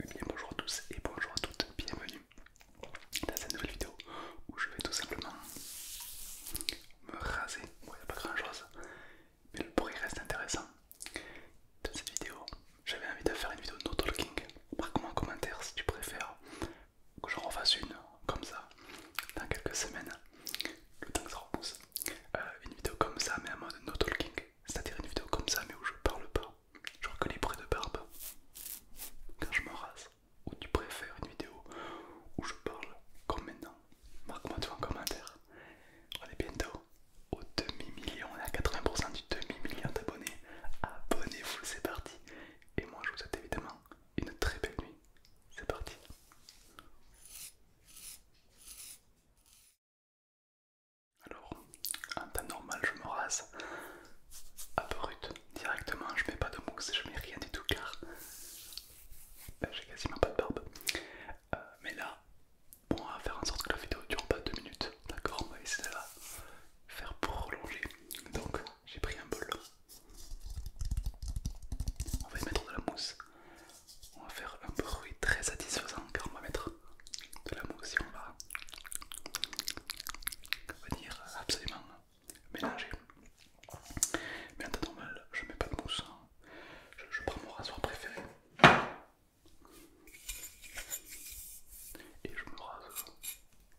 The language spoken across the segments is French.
Eh bonjour à tous et bonjour à toutes, bienvenue dans cette nouvelle vidéo où je vais tout simplement me raser. il n'y a pas grand chose, mais le bruit reste intéressant. Dans cette vidéo, j'avais envie de faire une vidéo no talking. Marque-moi en commentaire si tu préfères que je refasse une comme ça dans quelques semaines le temps que ça repousse, euh, une vidéo comme ça, mais en mode no talking, c'est-à-dire une vidéo comme ça, mais où je parle pas, genre que les prêts de barbe, quand je me rase, ou tu préfères une vidéo où je parle comme maintenant. Marque-moi tout en commentaire. On est bientôt au demi-million, on est à 80% du demi-million d'abonnés. Abonnez-vous, c'est parti. Et moi je vous souhaite évidemment une très belle nuit. C'est parti. Alors, en temps normal, je me rase à peu brut directement. Je mets pas de mousse, je mets rien du tout car ben, j'ai quasiment pas de barbe. Euh, mais là, bon, on va faire en sorte que la vidéo dure pas deux minutes. D'accord On va essayer de la faire prolonger. Donc, j'ai pris un bol. On va y mettre de la mousse on va faire un bruit très satisfaisant car on va mettre de la mousse et on va venir absolument mélanger. Mais en temps normal, je mets pas de mousse, hein. je, prends mon rasoir préféré et je me rase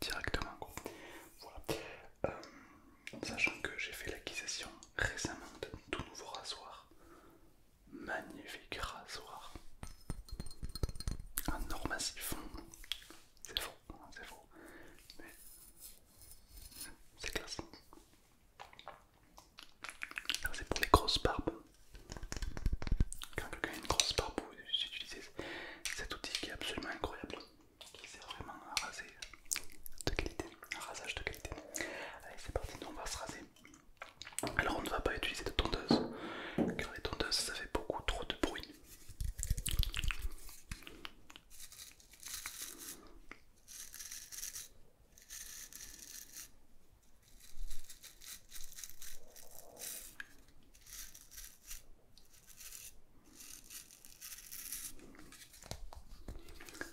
directement. Voilà. Euh, sachant que j'ai fait l'acquisition récemment de tout nouveau rasoir Magnifique rasoir. Un or massif. C'est faux, hein, c'est faux. Mais c'est classe. C'est pour les grosses barbes. Quand quelqu'un a une grosse barbe, vous utilisez cet outil qui est absolument incroyable. Qui sert vraiment à raser de qualité. Un rasage de qualité. Allez, c'est parti, nous on va se raser. Alors on ne va pas utiliser de tondeuse, car les tondeuses ça fait beaucoup trop de bruit.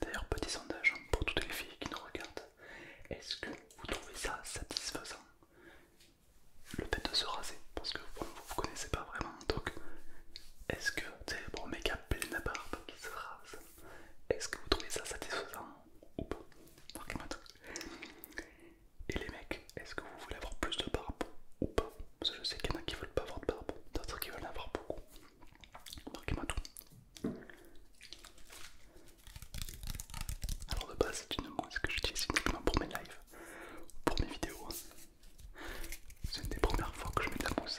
D'ailleurs, petit sondage hein, pour toutes les filles qui nous regardent. Est-ce que vous trouvez ça satisfaisant le fait de se raser Parce que vous vous connaissez pas vraiment. Donc, est-ce que, tu sais, bon, mec à de barbe qui se rase, est-ce que vous trouvez ça satisfaisant ou pas Marquez-moi tout. Et les mecs, est-ce que vous voulez avoir plus de barbe ou pas Parce que je sais qu'il y en a qui veulent pas avoir de barbe, d'autres qui veulent en avoir beaucoup tout. Alors de base c'est une mousse que j'utilise uniquement pour mes lives, pour mes vidéos. Hein. C'est une des premières fois que je mets de la mousse.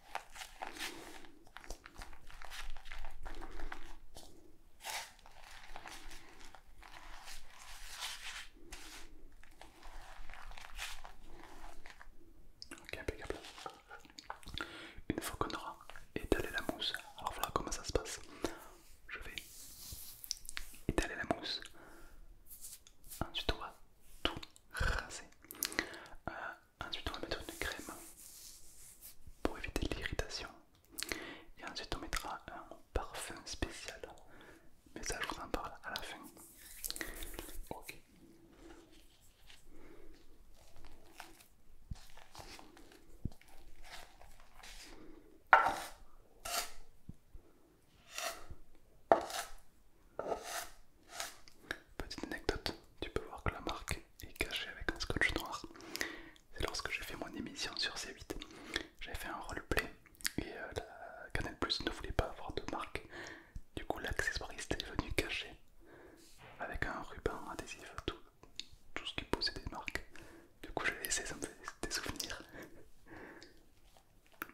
Ok, Une fois qu'on aura étalé la mousse, alors voilà comment ça se passe. Je vais étaler la mousse. Ensuite on va tout raser. Ensuite, on va mettre une crème pour éviter l'irritation. Et ensuite, on mettra un parfum spécial. Mais ça, je vous en parle à la fin. Ok. Petite anecdote, tu peux voir que la marque est cachée avec un scotch noir. C'est lorsque j'ai fait mon émission sur C8, j'avais fait un roleplay et euh, la Plus ne voulait pas avoir de marque. Du coup, l'accessoiriste est venu cacher avec un ruban adhésif tout, ce qui posait des marques. Du coup, j'ai laissé, ça me fait des souvenirs.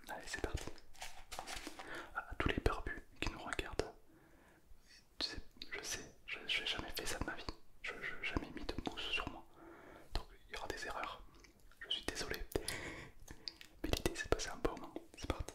Allez, c'est parti. À tous les barbus qui nous regardent, tu sais, je sais, je, n'ai jamais fait ça de ma vie, je n'ai jamais mis de mousse sur moi, donc il y aura des erreurs, je suis désolé, mais l'idée c'est de passer un bon moment, c'est parti.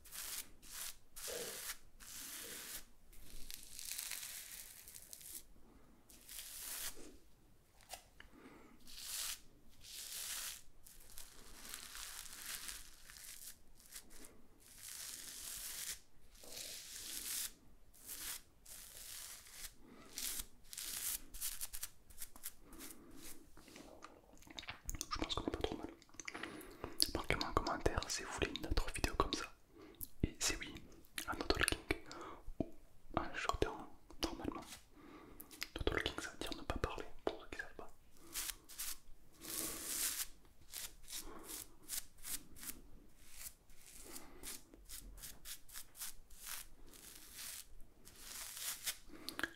Je pense qu'on n'est pas trop mal. Marquez-moi en commentaire si vous voulez une autre vidéo comme ça. Et si oui, un no-talking ou un shortant normalement. no ça veut dire ne pas parler pour ceux qui ne savent pas.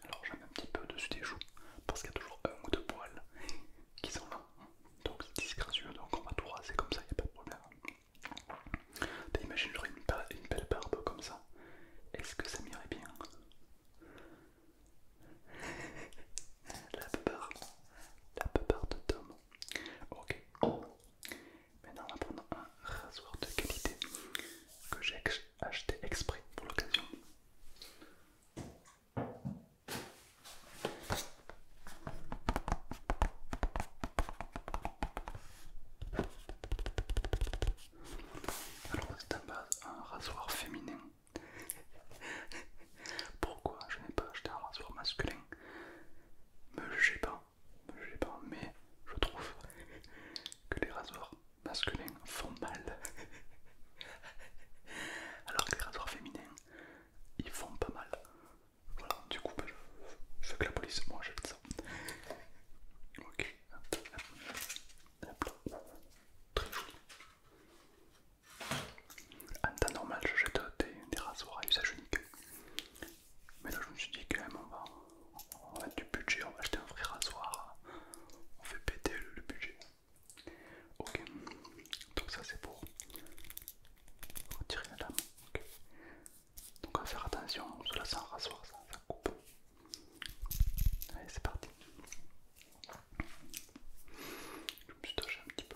Alors j'en mets un petit peu dessus des joues parce qu'il y a toujours un ou deux poils qui sont là donc c'est disgracieux, donc on va tout raser comme ça, il n'y a pas de problème. T'imagines, j'aurais une, belle barbe comme ça, est-ce que ça m'irait bien La peur, la peur de Tom. Ok, maintenant on va prendre un rasoir de qualité que j'ai acheté exprès pour l'occasion. Alors c'est base un rasoir féminin. Pourquoi je n'ai pas acheté un rasoir masculin Me j'ai pas, me jugez pas, mais je trouve que les rasoirs masculins font mal. Alors que les rasoirs féminins, ils font pas mal. Voilà, du coup, bah, je, fais que la police, moi jette ça. Ok, très joli. En temps normal, je jette des, rasoirs à usage unique. Mais là, je me suis dit, quand même, on va, du budget, on va acheter un vrai rasoir. On fait péter le budget. Ok, donc ça c'est pour retirer la lame. ok Donc on va faire attention, là c'est un ça, ça coupe. Allez, c'est parti. Je me suis touché un petit peu.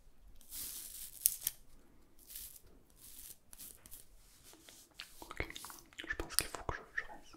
Ok, je pense qu'il faut que je, je rince.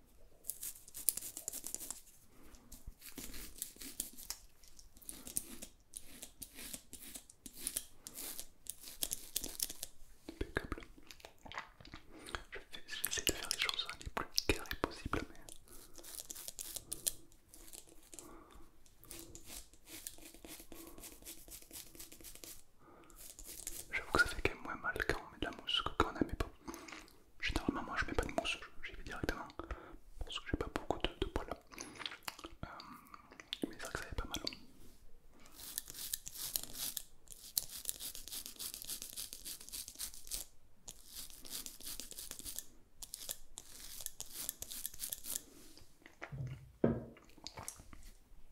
Je vais J'essaie de faire les choses les plus carrées possibles, mais. J'avoue que ça fait quand même moins mal quand on met de la mousse que quand on n'en met pas. Généralement, moi je mets pas de mousse, j'y vais directement parce que j'ai pas beaucoup de, poils. Euh, mais c'est vrai que ça fait pas mal.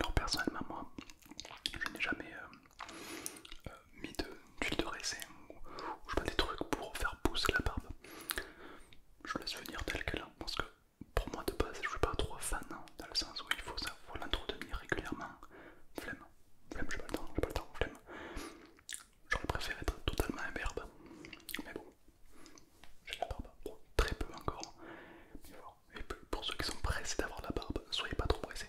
Alors personnellement moi je n'ai jamais euh, euh, mis de de, de raisin ou, je pas des trucs pour faire pousser la barbe. Je laisse venir tel qu'elle hein, parce que pour moi de base je suis pas trop fan hein dans le sens où il faut, ça, faut l'entretenir régulièrement. Flemme, flemme, j'ai pas le temps, j'ai pas le temps, flemme. J'aurais préféré être totalement imberbe, mais bon, j'ai la barbe, très peu encore. Mais voilà. Et pour ceux qui sont pressés d'avoir la barbe, soyez pas trop pressés.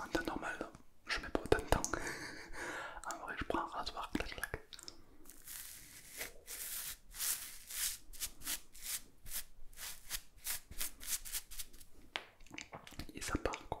En temps normal, je mets pas autant de temps. en vrai, je prends un rasoir, clac clac. Et ça part quoi.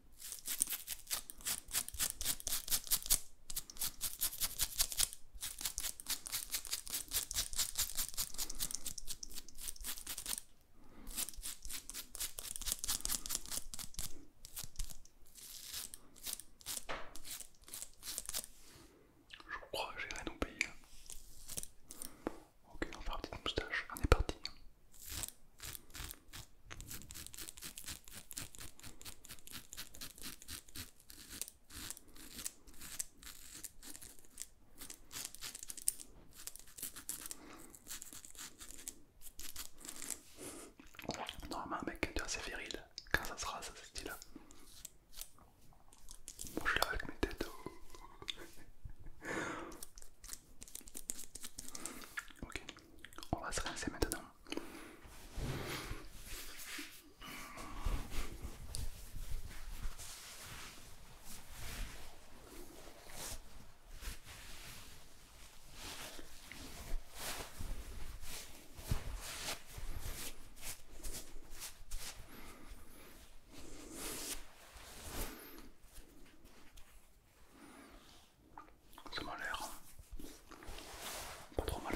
Je crois que j'irai pays. pays. Ok, on va faire de moustache, on est parti. Normalement, un mec qui est assez viril, quand ça sera ça, ce style-là. Moi, je l'ai avec mes têtes. Ok, on va se rincer maintenant. Ça m'a l'air pas trop mal.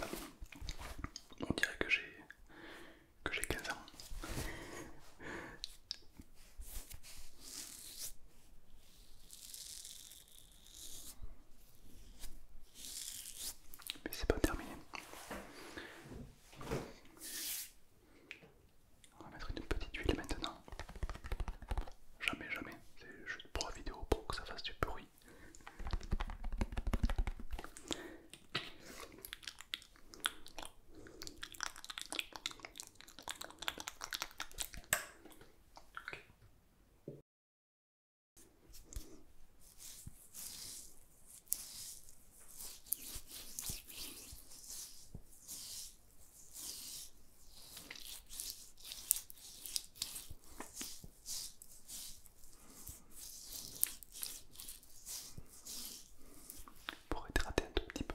On dirait que j'ai que j'ai 15 ans. Mais c'est pas terminé. On va mettre une petite huile maintenant. Jamais, jamais. C'est juste pour la vidéo, pour que ça fasse du bruit. Pour hydrater un tout petit peu.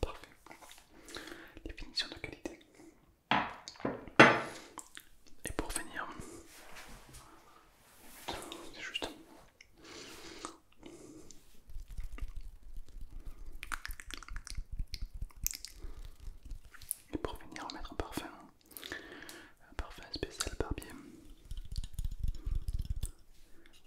Parfait. Les finitions de qualité. Et pour finir, c'est juste. Et pour finir, on mettre un parfum, un parfum spécial barbier.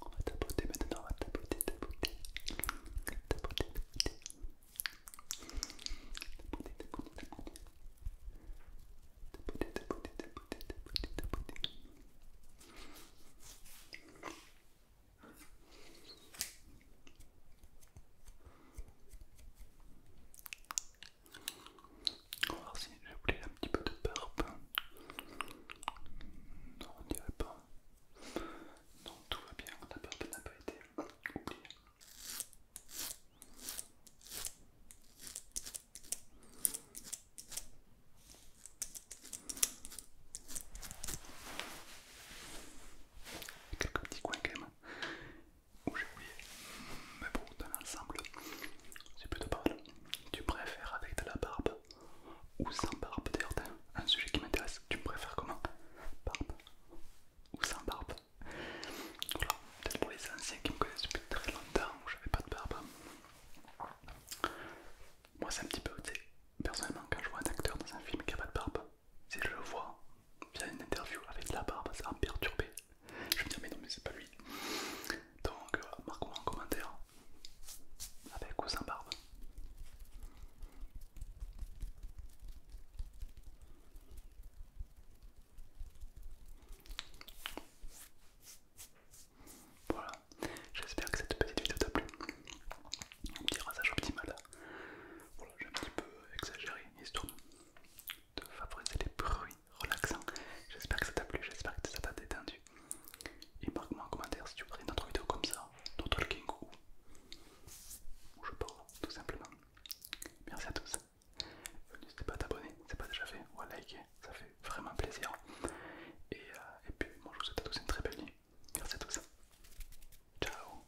On va tapoter maintenant, on va tapoter, tapoter, tapoter, tapoter, tapoter, tapoter, un petit peu de non, on dirait pas. Non, tout va bien, On n'a pas été oubliée. Quelques petits coins quand même où j'ai oublié, mais bon, dans l'ensemble, c'est plutôt pas mal. Tu préfères avec de la barbe ou sans barbe D'ailleurs, un sujet qui m'intéresse. Tu préfères comment Barbe ou sans barbe Voilà, peut-être pour les anciens qui me connaissent depuis très longtemps où j'avais pas de barbe. Moi, c'est un petit peu, tu sais, personnellement, quand je vois un acteur dans un film qui a pas de barbe, si je le vois via une interview avec de la barbe, ça va me perturber je vais me dire, mais non, mais c'est pas lui. Donc, marquons euh, marque-moi en commentaire avec ou sans barbe. Voilà, j'espère que cette petite vidéo t'a plu. Un petit rasage optimal. Voilà, j'ai un petit peu exagéré, histoire de favoriser les bruits relaxants. J'espère que ça t'a plu, j'espère que ça t'a détendu. Et marque-moi en commentaire si tu voudrais une autre vidéo comme ça, d'autres talking ou je parle, tout simplement. Merci à tous. N'hésitez pas à t'abonner, c'est pas déjà fait, ou à liker, ça fait vraiment plaisir. Et, euh, et puis, moi je vous souhaite à tous une très belle nuit. Merci à tous. Ciao.